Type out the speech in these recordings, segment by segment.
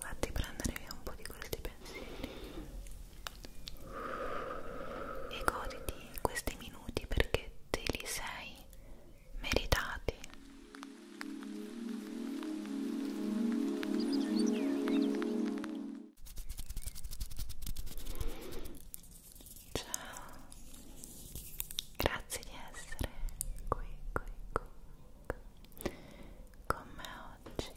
Fatti prendere via un po' di questi pensieri e goditi questi minuti perché te li sei meritati. Ciao, grazie di essere qui, qui, qui, qui con me oggi.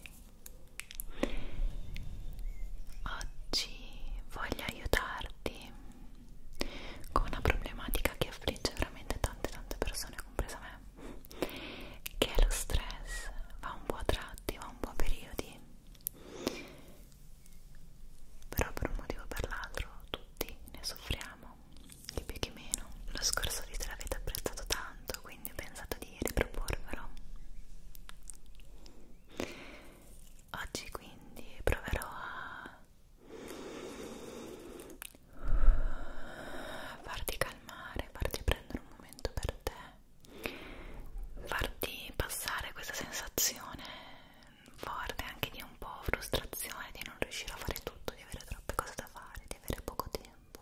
Oggi voglio aiutarti con una problematica che affligge veramente tante tante persone, compresa me, che è lo stress, va un po' a tratti, va un po' a periodi però per un motivo o per l'altro tutti ne soffriamo di più che meno lo scorso video l'avete apprezzato tanto quindi ho pensato di riproporvelo oggi quindi proverò a farti calmare farti prendere un momento per te farti passare questa sensazione forte anche di un po' frustrazione di non riuscire a fare tutto, di avere troppe cose da fare, di avere poco tempo.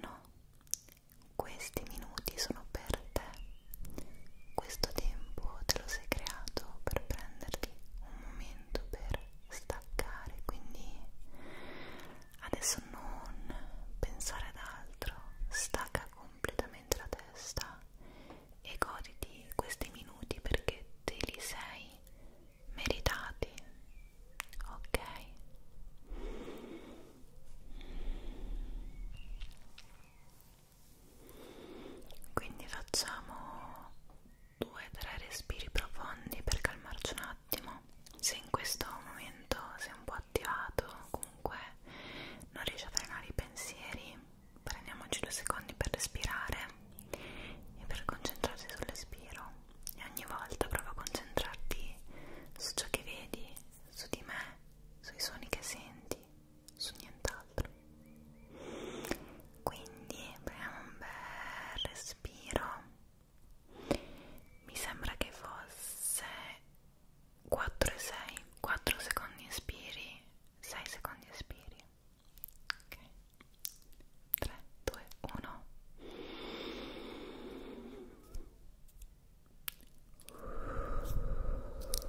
No, questi minuti sono per te. Questo tempo te lo sei creato per prenderti un momento per staccare, quindi adesso non pensare ad altro, stacca completamente la testa e goditi questi minuti perché te li sei meritati ok quindi facciamo due tre respiri profondi per calmarci un attimo se in questo momento sei un po' attivato comunque non riesci a frenare i pensieri prendiamoci due secondi per respirare e per concentrarsi sull'espiro e ogni volta prova a concentrarti su ciò che vedi, su di me, sui suoni che senti, su nient'altro. Quindi prendiamo un bel respiro. Mi sembra che fosse 4 e 6 4 secondi inspiri 6 secondi espiri ok 3 2 1 Perfetto,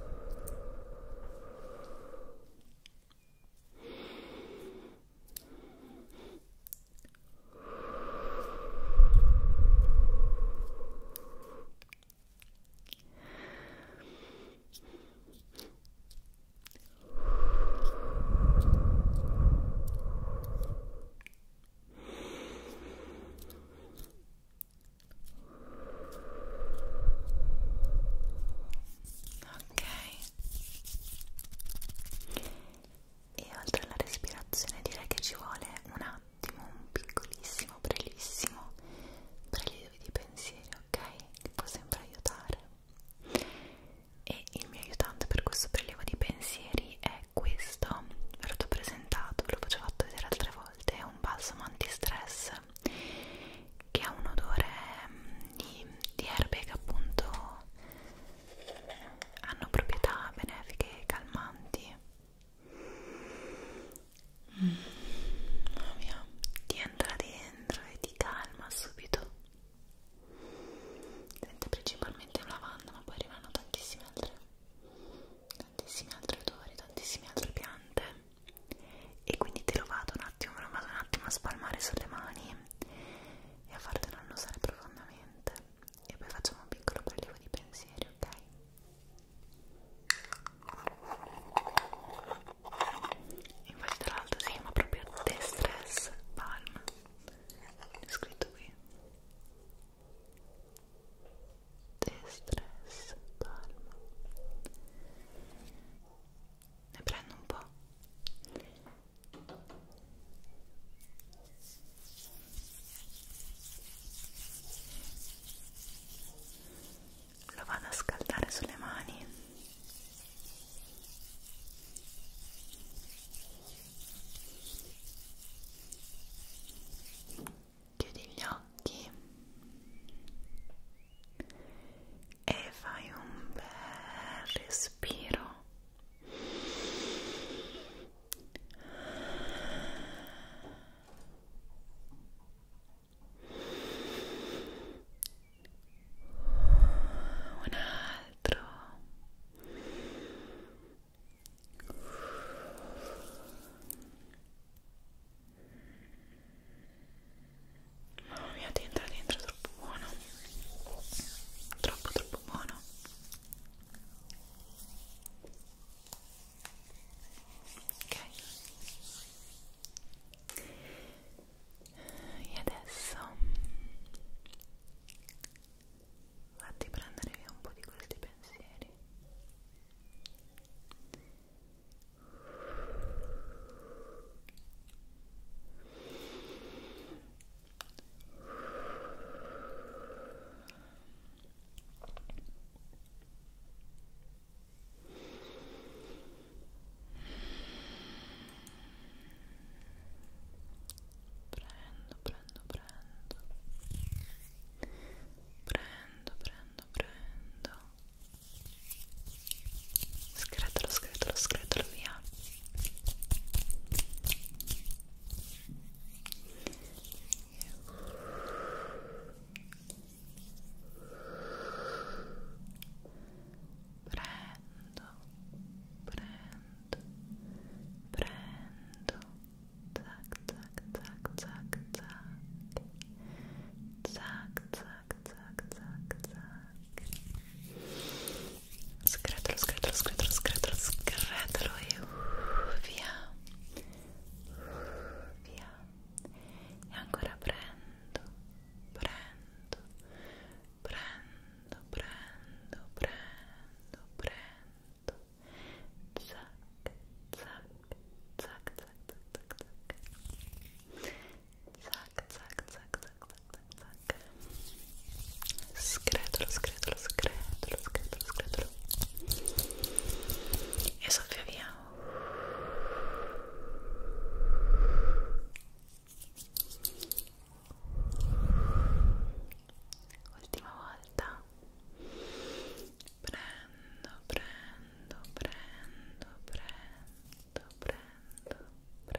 Ok. E oltre alla respirazione direi che ci vuole una ultimo un piccolissimo, brevissimo prelievo di pensieri, ok? Che può sempre aiutare. E il mio aiutante per questo prelievo di pensieri è questo, ve l'ho presentato, ve l'ho già fatto vedere altre volte, è un balsamo antistress che ha un odore mm, di, di erbe che appunto hanno proprietà benefiche e calmanti mm, mamma mia ti entra dentro e ti calma subito sente principalmente la lavanda ma poi arrivano tantissime altre tantissimi altri odori tantissime altre piante e quindi te lo vado un attimo lo vado un attimo a spalmare sulle mani e a fartelo annusare profondamente e poi facciamo un piccolo prelievo di pensieri ok infatti tra l'altro si chiama proprio The Stress Palm è scritto qui The Stress Palm ne prendo un po' lo vado a scaldare sulle mani chiudi gli occhi e fai un bel respiro un altro mamma mia ti entra dentro troppo buono troppo troppo buono ok e adesso fatti prendere via un po' di questi pensieri prendo prendo prendo prendo prendo prendo scretolo scretolo scretolo via prendo prendo prendo tac tac tac tac tac tac tac tac tac tac scretolo scretolo scretolo scretolo scretolo e uh, via via e ancora prendo prendo prendo prendo prendo prendo zac zac zac zac zac zac zac zac zac zac zac zac scretolo scretolo lo screto, lo screto, lo screto e soffia via ultima volta prendo, prendo, prendo, prendo, prendo, prendo, prendo, prendo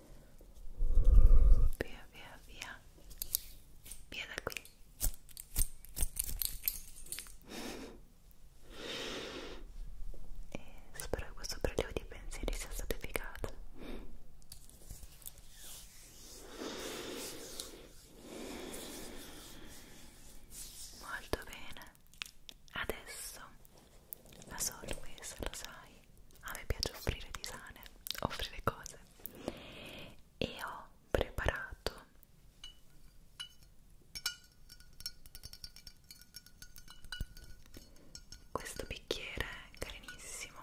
via via via via da qui e eh, spero che questo prelievo di pensieri sia stato efficace molto bene adesso as always lo sai a me piace offrire tisane, offrire cose e ho preparato questo bicchiere carinissimo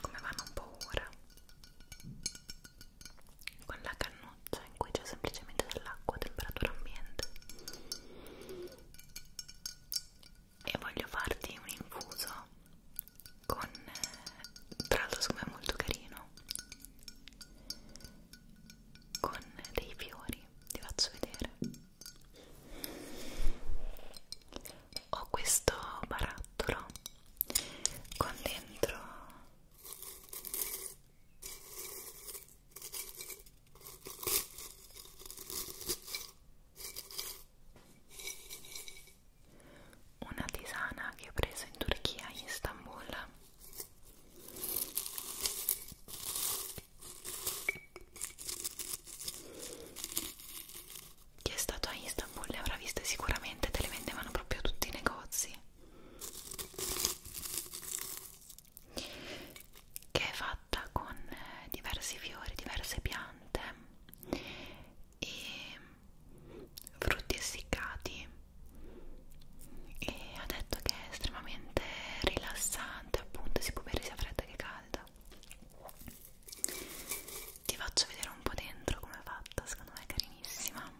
come vanno un po' ora con la cannuccia in cui c'è semplicemente dell'acqua a temperatura ambiente e voglio farti un infuso con tra l'altro secondo me molto carino con dei fiori ti faccio vedere ho questo barattolo con dentro una tisana che ho preso in Turchia, in Istanbul chi è stato a Istanbul le avrà viste sicuramente, te le vendevano proprio tutti i negozi che è fatta con eh, diversi fiori, diverse piante e frutti essiccati e ha detto che è estremamente rilassante appunto si può bere sia fredda che calda ti faccio vedere un po' dentro come è fatta secondo me è carinissima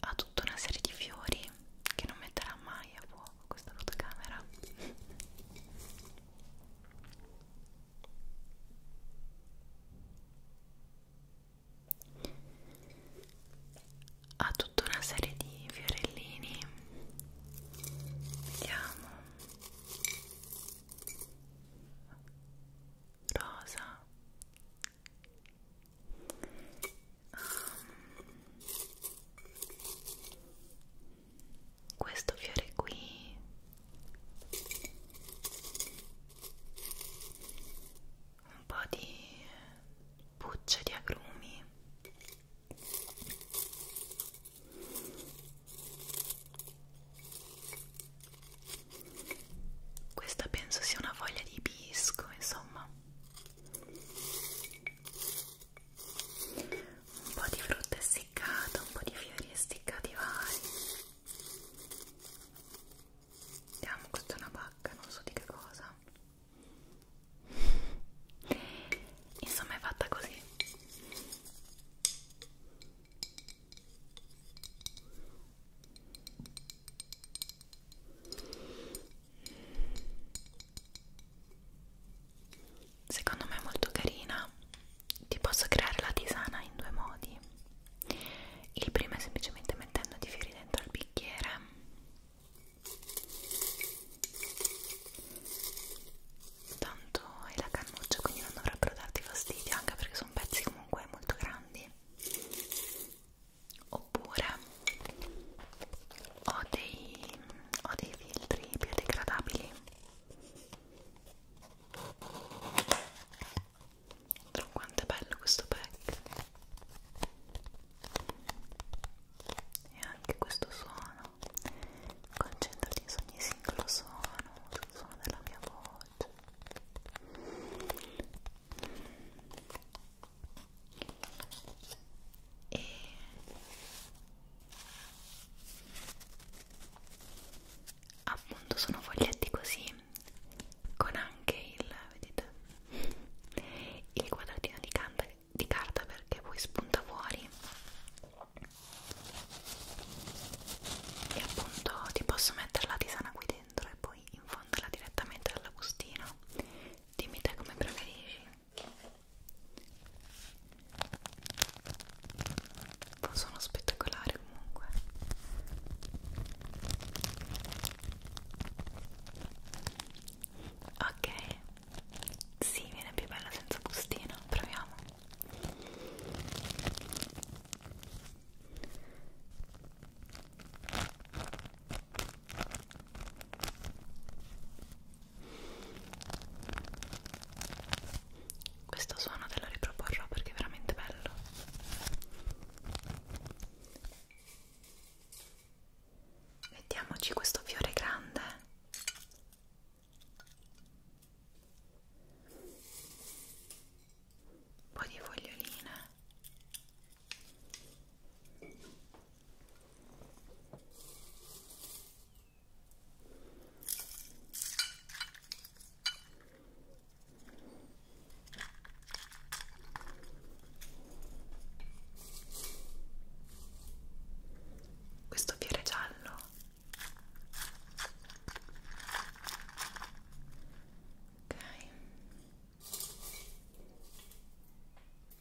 ha tutta una serie di fiori che non metterà mai a fuoco questa fotocamera ha tutta una serie di fiorellini vediamo rosa um questo fiore qui un po' di bucce di agrumi questa penso sia una foglia di bisco insomma un po' di frutta essiccata, un po' di fiori essiccati vari vediamo, questa è una pacca, non so di che cosa insomma è fatta così secondo me è molto carina ti posso creare la tisana in due modi il primo è semplicemente mettendo di fiori dentro al bicchiere tanto è la cannuccia quindi non dovrebbero darti fastidio anche perché sono pezzi comunque molto grandi oppure ho dei ho dei filtri biodegradabili quanto è bello questo pack e anche questo suono concentrati su ogni singolo suono sul suono della mia voce e appunto sono foglietti così con anche il vedete il quadratino di, canta, di carta perché poi spunta fuori e appunto ti posso mettere la tisana qui dentro e poi infonderla direttamente dalla bustina dimmi te come preferisci ma sono spettacolari comunque. Ok, sì, viene più bella senza bustino. Proviamo. Questo suono te lo riproporrò perché è veramente bello. Mettiamoci questo fiore grande. Un po' di foglioline questo fiore giallo ok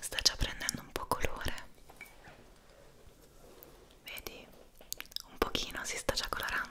Sta già prendendo un po' colore. Vedi? Un pochino si sta già colorando.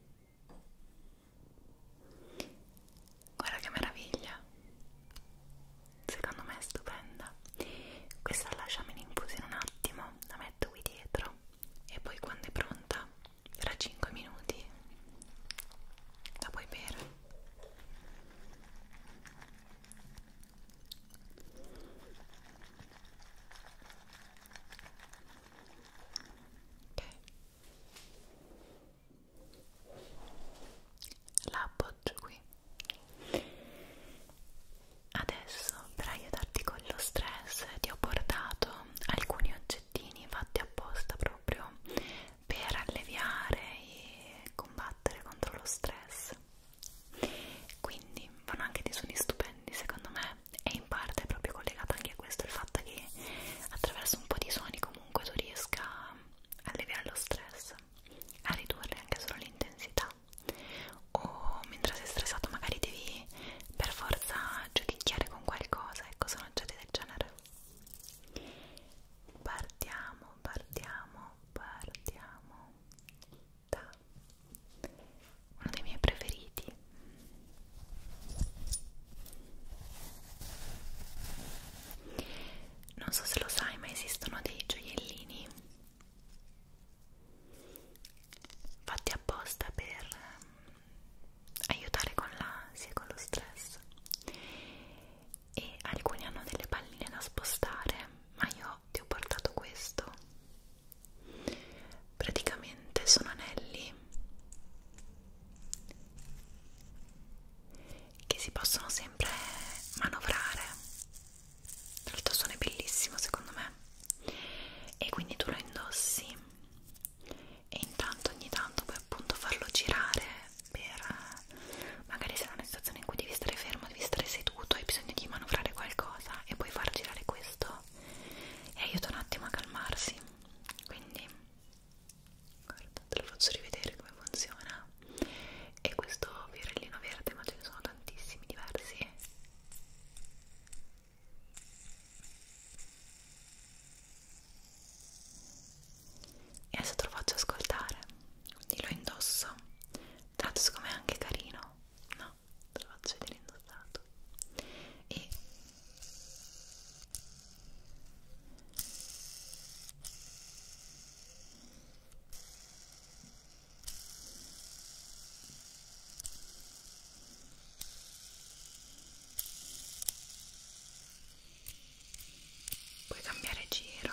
Guarda che meraviglia! Secondo me è stupenda. Questa lasciamo in infusione un attimo, la metto qui dietro e poi quando è pronta, tra 5 minuti, la puoi bere ok la appoggio qui adesso per aiutarti con lo stress ti ho portato alcuni oggettini fatti apposta proprio per alleviare e combattere contro lo stress quindi vanno anche dei suoni stupendi secondo me e in parte è proprio collegata anche a questo il fatto che attraverso un po' di suoni comunque tu riesca a alleviare lo stress a ridurre anche solo l'intensità o mentre sei stressato magari devi per forza giudicare con qualcosa ecco sono oggetti del genere partiamo partiamo partiamo Giada uno dei miei preferiti non so se lo sai ma esistono dei gioiellini fatti apposta per ehm, aiutare con l'ansia e con lo stress e alcuni hanno delle palline da spostare ma io ti ho portato questo praticamente sono anelli che si possono sempre manovrare l'altro suono è bellissimo secondo me e quindi tu lo indossi e intanto ogni tanto puoi appunto farlo girare per magari se è una situazione in cui devi stare fermo devi stare seduto hai bisogno di manovrare qualcosa e puoi far girare questo e aiuta un attimo a calmarsi quindi guarda, te lo faccio rivedere come funziona e questo virellino verde ma ce ne sono tantissimi diversi e adesso te lo faccio ascoltare quindi lo indosso tra l'altro secondo me è anche carino no? nulla te lo faccio vedere indossato e puoi cambiare giro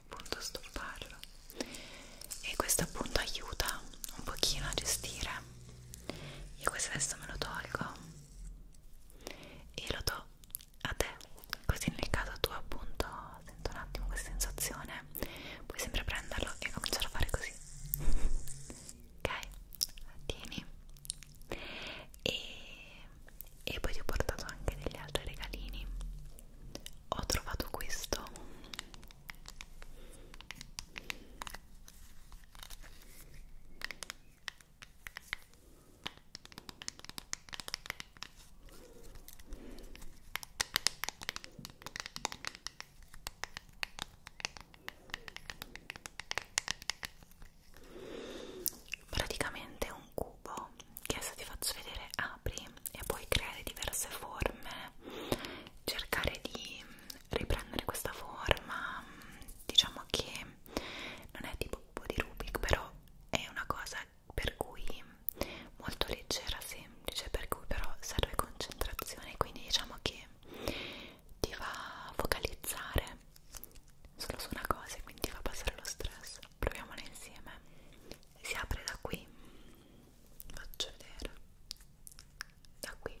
appunto stopparlo e questo appunto aiuta un pochino a gestire io questo adesso me lo tolgo e lo do a te così nel caso tu appunto sento un attimo questa sensazione puoi sempre prenderlo e cominciare a fare così ok? tieni e, e poi ti ho portato anche degli altri regalini ho trovato questo praticamente un un cubo che adesso ti faccio vedere apri e puoi creare diverse forme cercare di riprendere questa forma diciamo che non è tipo cubo di Rubik però è una cosa per cui molto leggera semplice per cui però serve concentrazione quindi diciamo che ti va a focalizzare solo su una cosa e quindi ti fa passare lo stress proviamola insieme si apre da qui faccio vedere da qui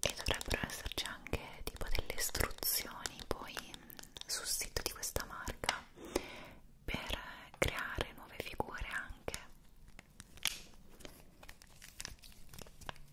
e dovrebbero esserci anche tipo delle istruzioni poi sul sito di questa marca per creare nuove figure anche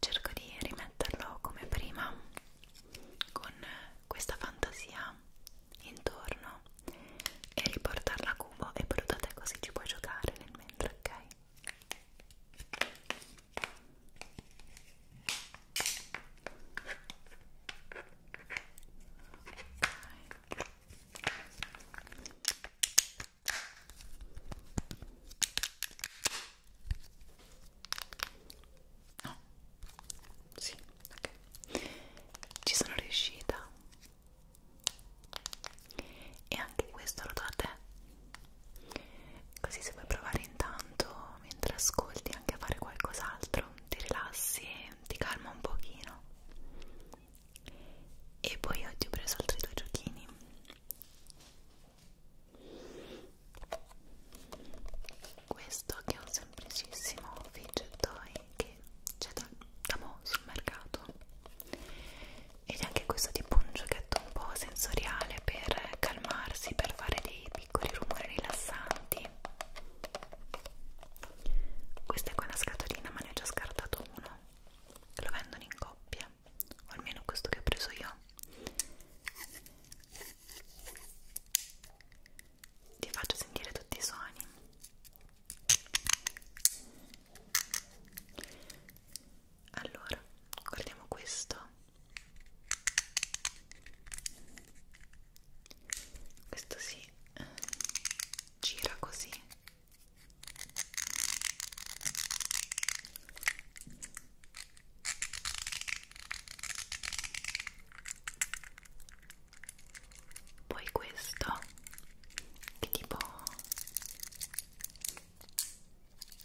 cerco di rimetterlo come prima con questa fantasia intorno e riportarla a cubo e brutate così ci puoi giocare nel mentre ok No, sì, ok. Ci sono riuscita. E anche questo lo do a te. Così se vuoi provare intanto, mentre ascolti, anche a fare qualcos'altro, ti rilassi e ti calma un pochino. E poi oggi ho preso altri due giochini questo che è un semplicissimo fidget toy che c'è da, da mo' sul mercato ed anche questo tipo un giochetto un po' sensoriale per calmarsi, per fare dei piccoli rumori rilassanti questa è quella scatolina ma ne ho già scartato uno lo vendono in coppia migliore o almeno questo che ho preso io ti faccio sentire tutti i suoni allora guardiamo questo questo si gira così poi questo che tipo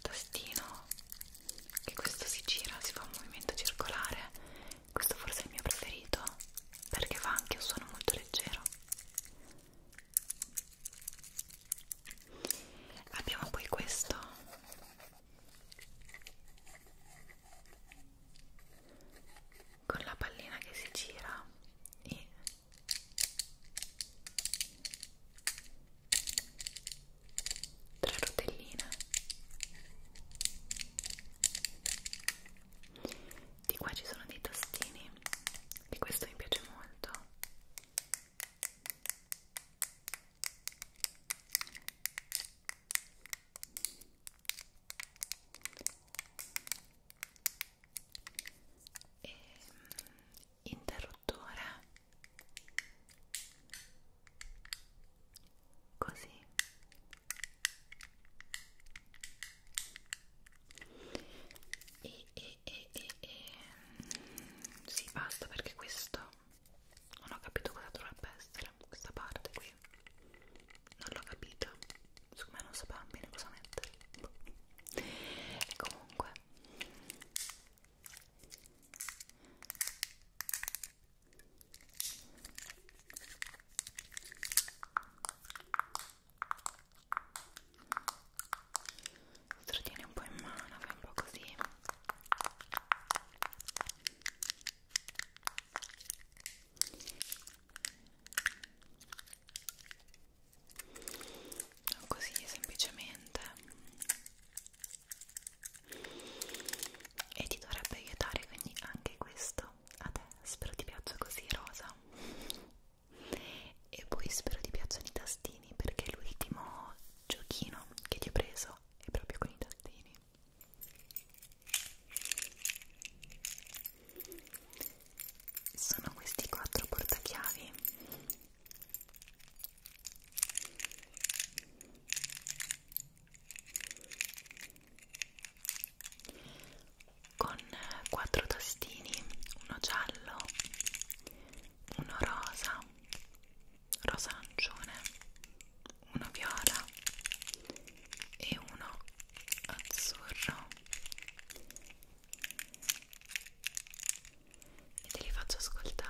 tastino che questo si gira, si fa un movimento circolare. Questo forse è il mio preferito perché fa anche un suono molto leggero. Abbiamo poi questo con la pallina che si gira e tre rotelline di qua ci sono dei tastini di questo mi piace molto e mm, interruttore così e, e, e, e, e mm, sì basta perché questo non ho capito cosa dovrebbe essere questa parte qui non l'ho capita secondo me non sapevamo bene cosa mettere e comunque lo trattieni un po' in mano, fai un po' così così semplicemente e ti dovrebbe aiutare quindi anche questo a te spero ti piaccia così rosa e poi spero ti piacciono i tastini perché l'ultimo giochino che ti ho preso è proprio con i tastini sono questi quattro portachiavi con quattro tastini, uno giallo, uno rosa, rosa arancione, uno viola e uno azzurro e te li faccio ascoltare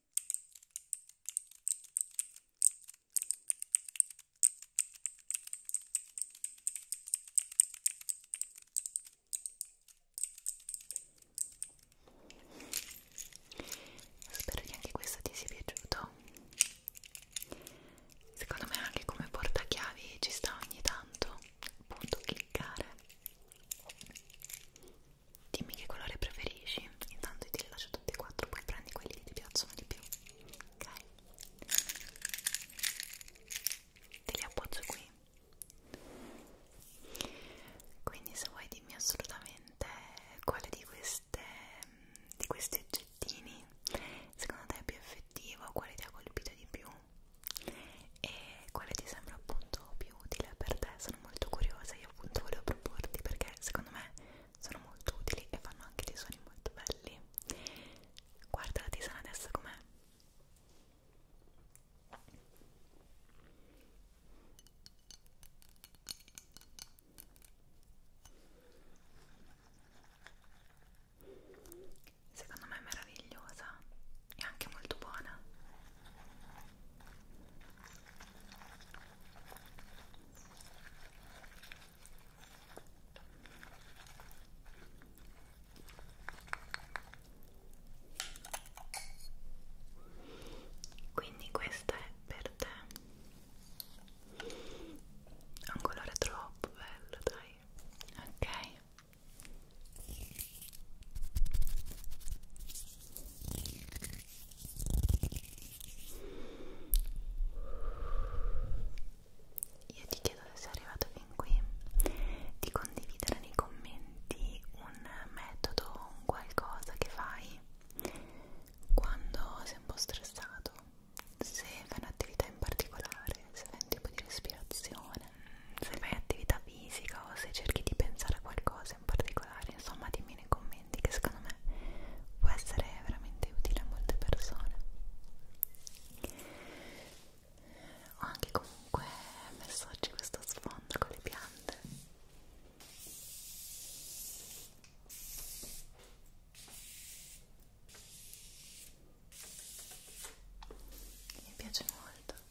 Spero che anche questo ti sia piaciuto. Secondo me anche come portachiavi ci sta ogni tanto appunto cliccare Dimmi che colore preferisci. Intanto io te li lascio tutti e quattro, poi prendi quelli che ti piacciono di più. Ok? Te li appoggio qui. Quindi se vuoi dimmi assolutamente quale di, queste, di questi oggettini secondo te è più effettivo, quale ti ha colpito di più e quale ti sembra appunto più più utile per te, sono molto curiosa, io appunto volevo proporti perché secondo me sono molto utili e fanno anche dei suoni molto belli. Guarda la tisana adesso com'è. Secondo me è meravigliosa è anche molto buona quindi questa è per te ha un colore troppo bello dai ok io ti chiedo se sei arrivato fin qui di condividere nei commenti un metodo, un qualcosa che fai quando sei un po' stressato, se fai un'attività in particolare, se fai un tipo di respirazione, se fai attività metafisica o se cerchi di pensare a qualcosa in particolare insomma dimmi nei commenti che secondo me può essere veramente utile a molte persone ho anche comunque messo oggi questo sfondo con le piante mi piace molto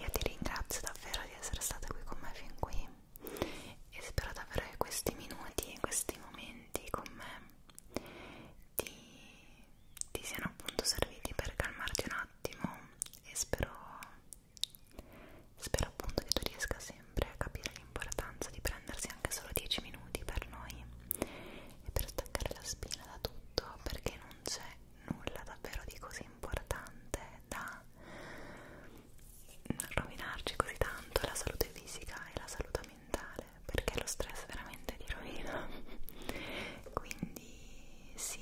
Io ti ringrazio davvero di essere stata qui con me fin qui e spero davvero che questi minuti e questi momenti con me ti, ti siano appunto serviti per calmarti un attimo e spero, spero appunto che tu riesca sempre a capire l'importanza di prendersi anche solo 10 minuti per noi e per staccare la spina da tutto perché non c'è nulla davvero di così importante da rovinarci così tanto la salute fisica e la salute mentale perché lo stress veramente ti rovina quindi sì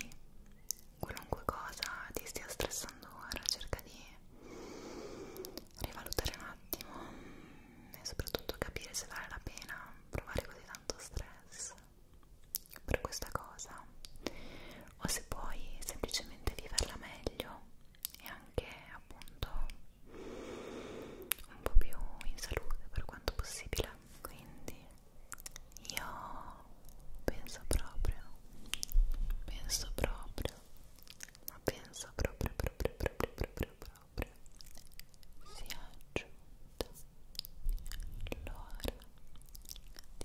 qualunque cosa ti stia stressando ora cerca di rivalutare un attimo e soprattutto capire se vale la pena provare così tanto stress per questa cosa o se puoi semplicemente viverla meglio e anche appunto un po' più in salute per quanto possibile quindi io penso proprio penso proprio ma penso proprio proprio proprio proprio proprio si è aggiunta l'ora di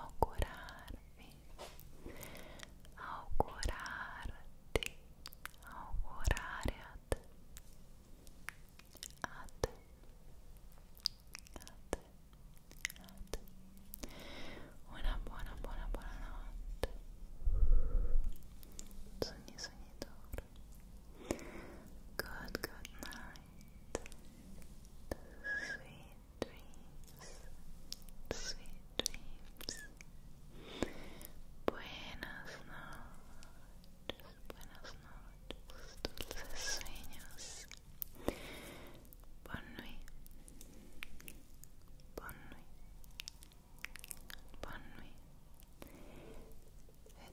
augurarvi, augurarti, augurare a te, a te, a te, a Una buona, buona, buona notte. Sogni, sogni d'oro. Good, good night. Sweet dreams, sweet dreams. Buenas noches, buenas noches, dulces sueños. Bonne nuit, bonne nuit, bonne nuit. Et